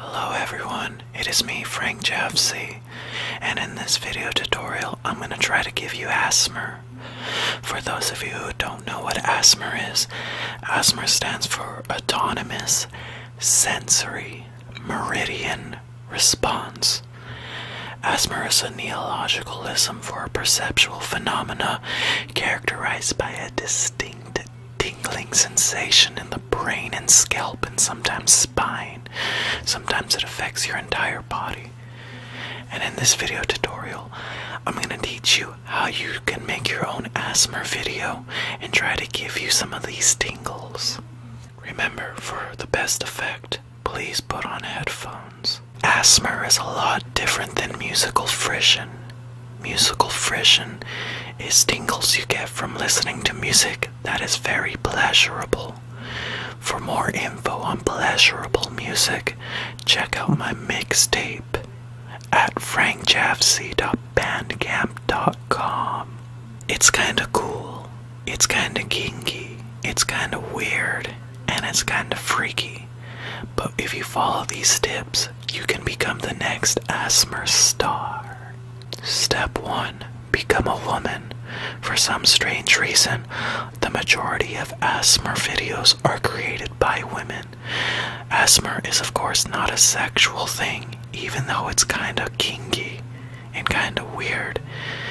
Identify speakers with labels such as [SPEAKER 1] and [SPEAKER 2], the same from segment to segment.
[SPEAKER 1] Hello everyone, it is me Frank Javsey, and in this video tutorial I'm going to try to give you ASMR. For those of you who don't know what ASMR is, ASMR stands for Autonomous Sensory Meridian Response. ASMR is a neologism for perceptual phenomena characterized by a distinct tingling sensation in the brain and scalp, and sometimes spine. Sometimes it affects your entire body. And in this video tutorial, I'm going to teach you how you can make your own asthma video and try to give you some of these tingles. Remember, for the best effect, please put on headphones. Asthma is a lot different than musical frisson. Musical frisson is tingles you get from listening to music that is very pleasurable. For more info on pleasurable music, check out my mixtape at frankjafc.bandcamp.com. It's kinda cool, it's kinda kinky, it's kinda weird, and it's kinda freaky. But if you follow these tips, you can become the next Asmer star. Step 1 Become a woman. For some strange reason, the majority of ASMR videos are created by women. ASMR is, of course, not a sexual thing, even though it's kinda kinky and kinda weird.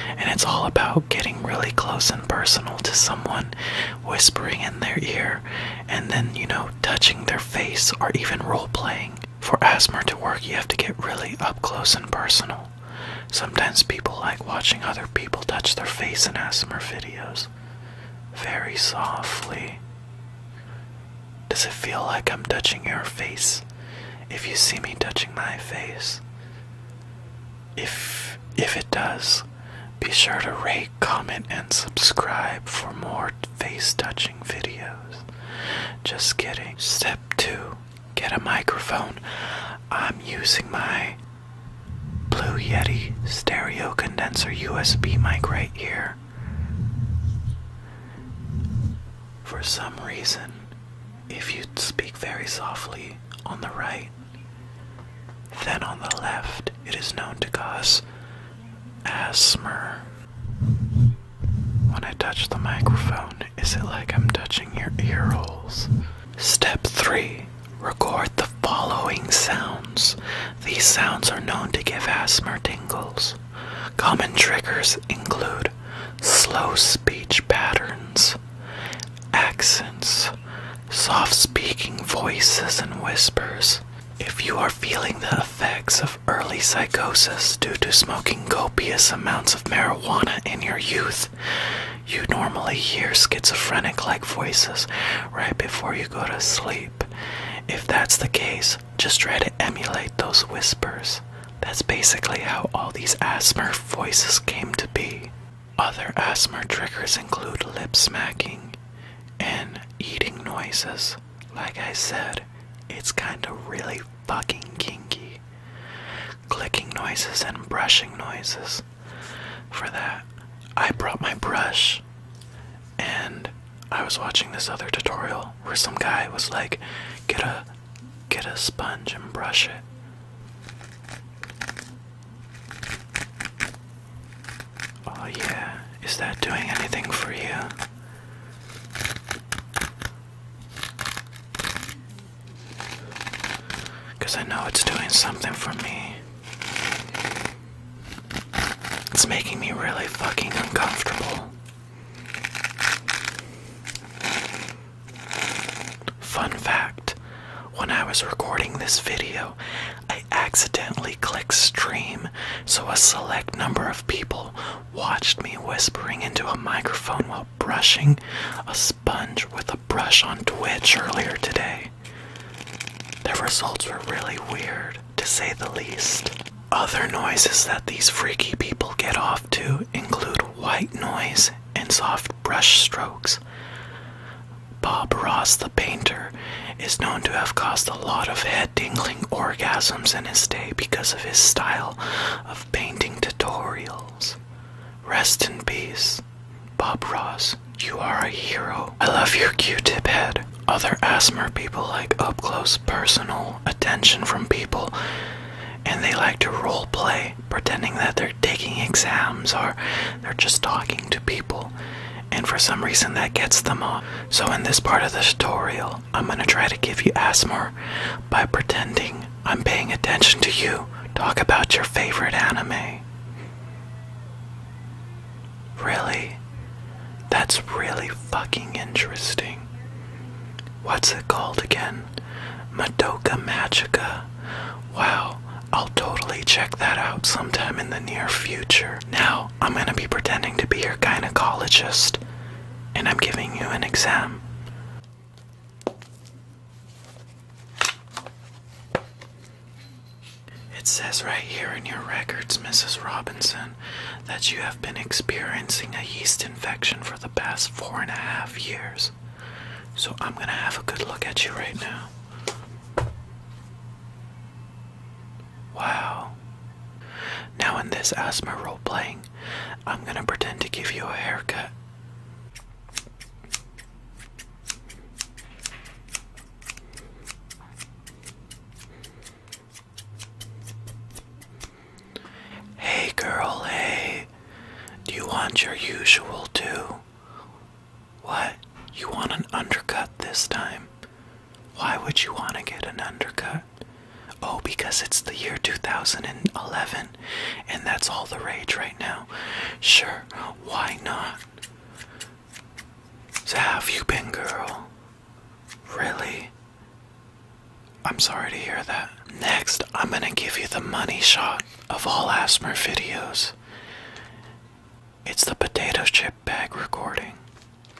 [SPEAKER 1] And it's all about getting really close and personal to someone, whispering in their ear, and then, you know, touching their face or even role playing. For ASMR to work, you have to get really up close and personal. Sometimes people like watching other people touch their face in ASMR videos. Very softly. Does it feel like I'm touching your face? If you see me touching my face. If if it does, be sure to rate, comment, and subscribe for more face touching videos. Just kidding. Step two get a microphone. I'm using my Blue Yeti stereo condenser USB mic right here. For some reason, if you speak very softly on the right, then on the left, it is known to cause asthma. When I touch the microphone, is it like I'm touching your ear holes? Step 3 Record the following sounds. These sounds are known to give asthma tingles. Common triggers include slow speech patterns, accents, soft speaking voices and whispers, if you are feeling the effects of early psychosis due to smoking copious amounts of marijuana in your youth, you normally hear schizophrenic like voices right before you go to sleep. If that's the case, just try to emulate those whispers. That's basically how all these asthma voices came to be. Other asthma triggers include lip smacking and eating noises. Like I said, it's kinda really fucking kinky. Clicking noises and brushing noises. For that, I brought my brush and I was watching this other tutorial where some guy was like, get a get a sponge and brush it. Oh yeah, is that doing anything for you? Because I know it's doing something for me. It's making me really fucking uncomfortable. Fun fact when I was recording this video, I accidentally clicked stream, so a select number of people watched me whispering into a microphone while brushing a sponge with a brush on Twitch earlier today. Their results were really weird, to say the least. Other noises that these freaky people get off to include white noise and soft brush strokes. Bob Ross the painter is known to have caused a lot of head tingling orgasms in his day because of his style of painting tutorials. Rest in peace, Bob Ross. You are a hero. I love your Q-tip head. Other ASMR people like up close personal attention from people, and they like to role play, pretending that they're taking exams or they're just talking to people, and for some reason that gets them off. So in this part of the tutorial, I'm gonna try to give you asthma by pretending I'm paying attention to you. Talk about your favorite anime. Really? That's really fucking interesting. What's it called again? Madoka Magica. Wow, I'll totally check that out sometime in the near future. Now, I'm gonna be pretending to be your gynecologist and I'm giving you an exam. It says right here in your records, Mrs. Robinson, that you have been experiencing a yeast infection for the past four and a half years. So I'm gonna have a good look at you right now. Wow. Now, in this asthma role playing, I'm gonna pretend to give you a haircut. Hey girl, hey. Do you want your usual too? What? You want an undercut this time? Why would you want to get an undercut? Oh, because it's the year 2011 and that's all the rage right now. Sure, why not? So, have you been, girl? Really? I'm sorry to hear that. Next, I'm gonna give you the money shot of all ASMR videos. It's the potato chip bag recording.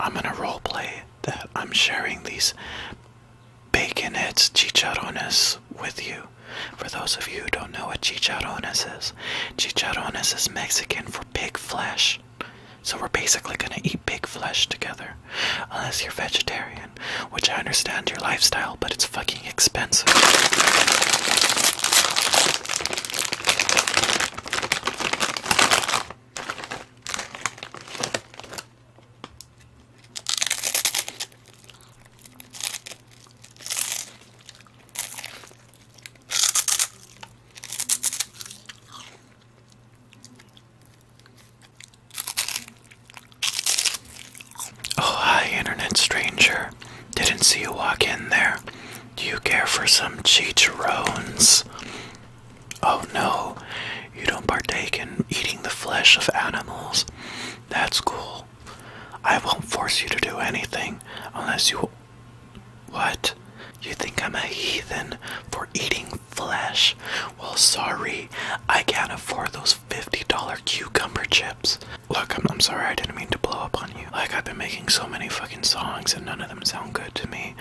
[SPEAKER 1] I'm gonna roleplay that I'm sharing these bacon heads chicharrones with you. For those of you who don't know what chicharrones is, chicharrones is Mexican for pig flesh. So we're basically gonna eat pig flesh together, unless you're vegetarian which I understand your lifestyle, but it's fucking expensive. Oh, hi, internet stranger. Didn't see you walk in there. Do you care for some chicharrones? Oh no, you don't partake in eating the flesh of animals. That's cool. I won't force you to do anything unless you. What? You think I'm a heathen for eating flesh? Well, sorry, I can't afford those $50 cucumber chips. Look, I'm, sorry, I didn't mean to blow up on you. Like, I've been making so many fucking songs and none of them sound good to me.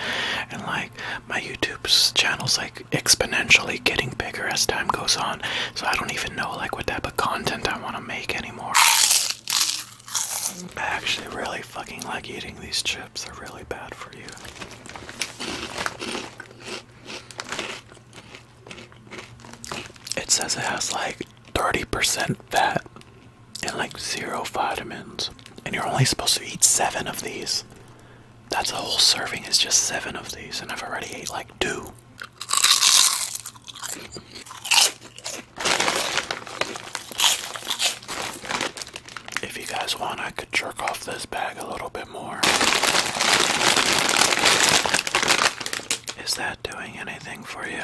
[SPEAKER 1] And like, my YouTube's channel's like exponentially getting bigger as time goes on. So I don't even know like what type of content I want to make anymore. I actually really fucking like eating these chips. They're really bad for you. It says it has like 30% fat and like zero vitamins. And you're only supposed to eat seven of these. That's a whole serving, is just seven of these. And I've already ate like two. If you guys want, I could jerk off this bag a little bit more. Is that doing anything for you?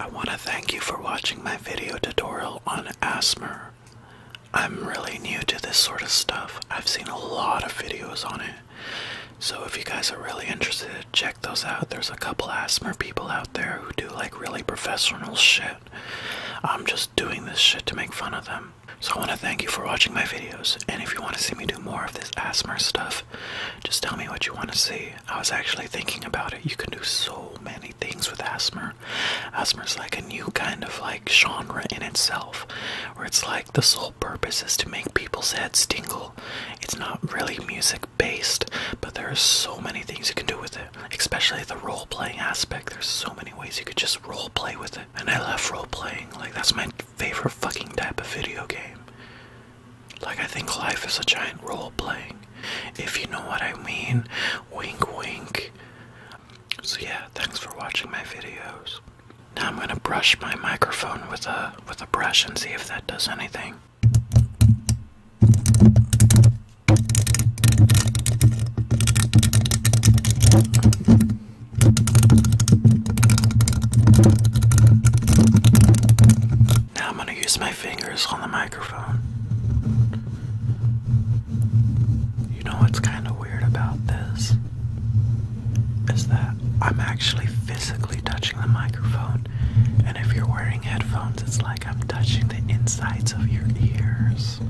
[SPEAKER 1] I want to thank you for watching my video tutorial on asthma. I'm really new to this sort of stuff. I've seen a lot of videos on it. So if you guys are really interested, check those out. There's a couple asthma people out there who do like really professional shit. I'm just doing this shit to make fun of them. So I want to thank you for watching my videos, and if you want to see me do more of this ASMR stuff, just tell me what you want to see. I was actually thinking about it. You can do so many things with ASMR. ASMR is like a new kind of like genre in itself, where it's like the sole purpose is to make people's heads tingle. It's not really music based, but there are so many things you can do with it, especially the role playing aspect. There's so many ways you could just role play with it. And I love role playing. Like, that's my favorite fucking type of video game. Like, I think life is a giant role playing. If you know what I mean. Wink, wink. So, yeah, thanks for watching my videos. Now I'm gonna brush my microphone with a with a brush and see if that does anything. Now I'm going to use my fingers on the microphone. You know what's kind of weird about this? Is that I'm actually physically touching the microphone, and if you're wearing headphones, it's like I'm touching the insides of your ears.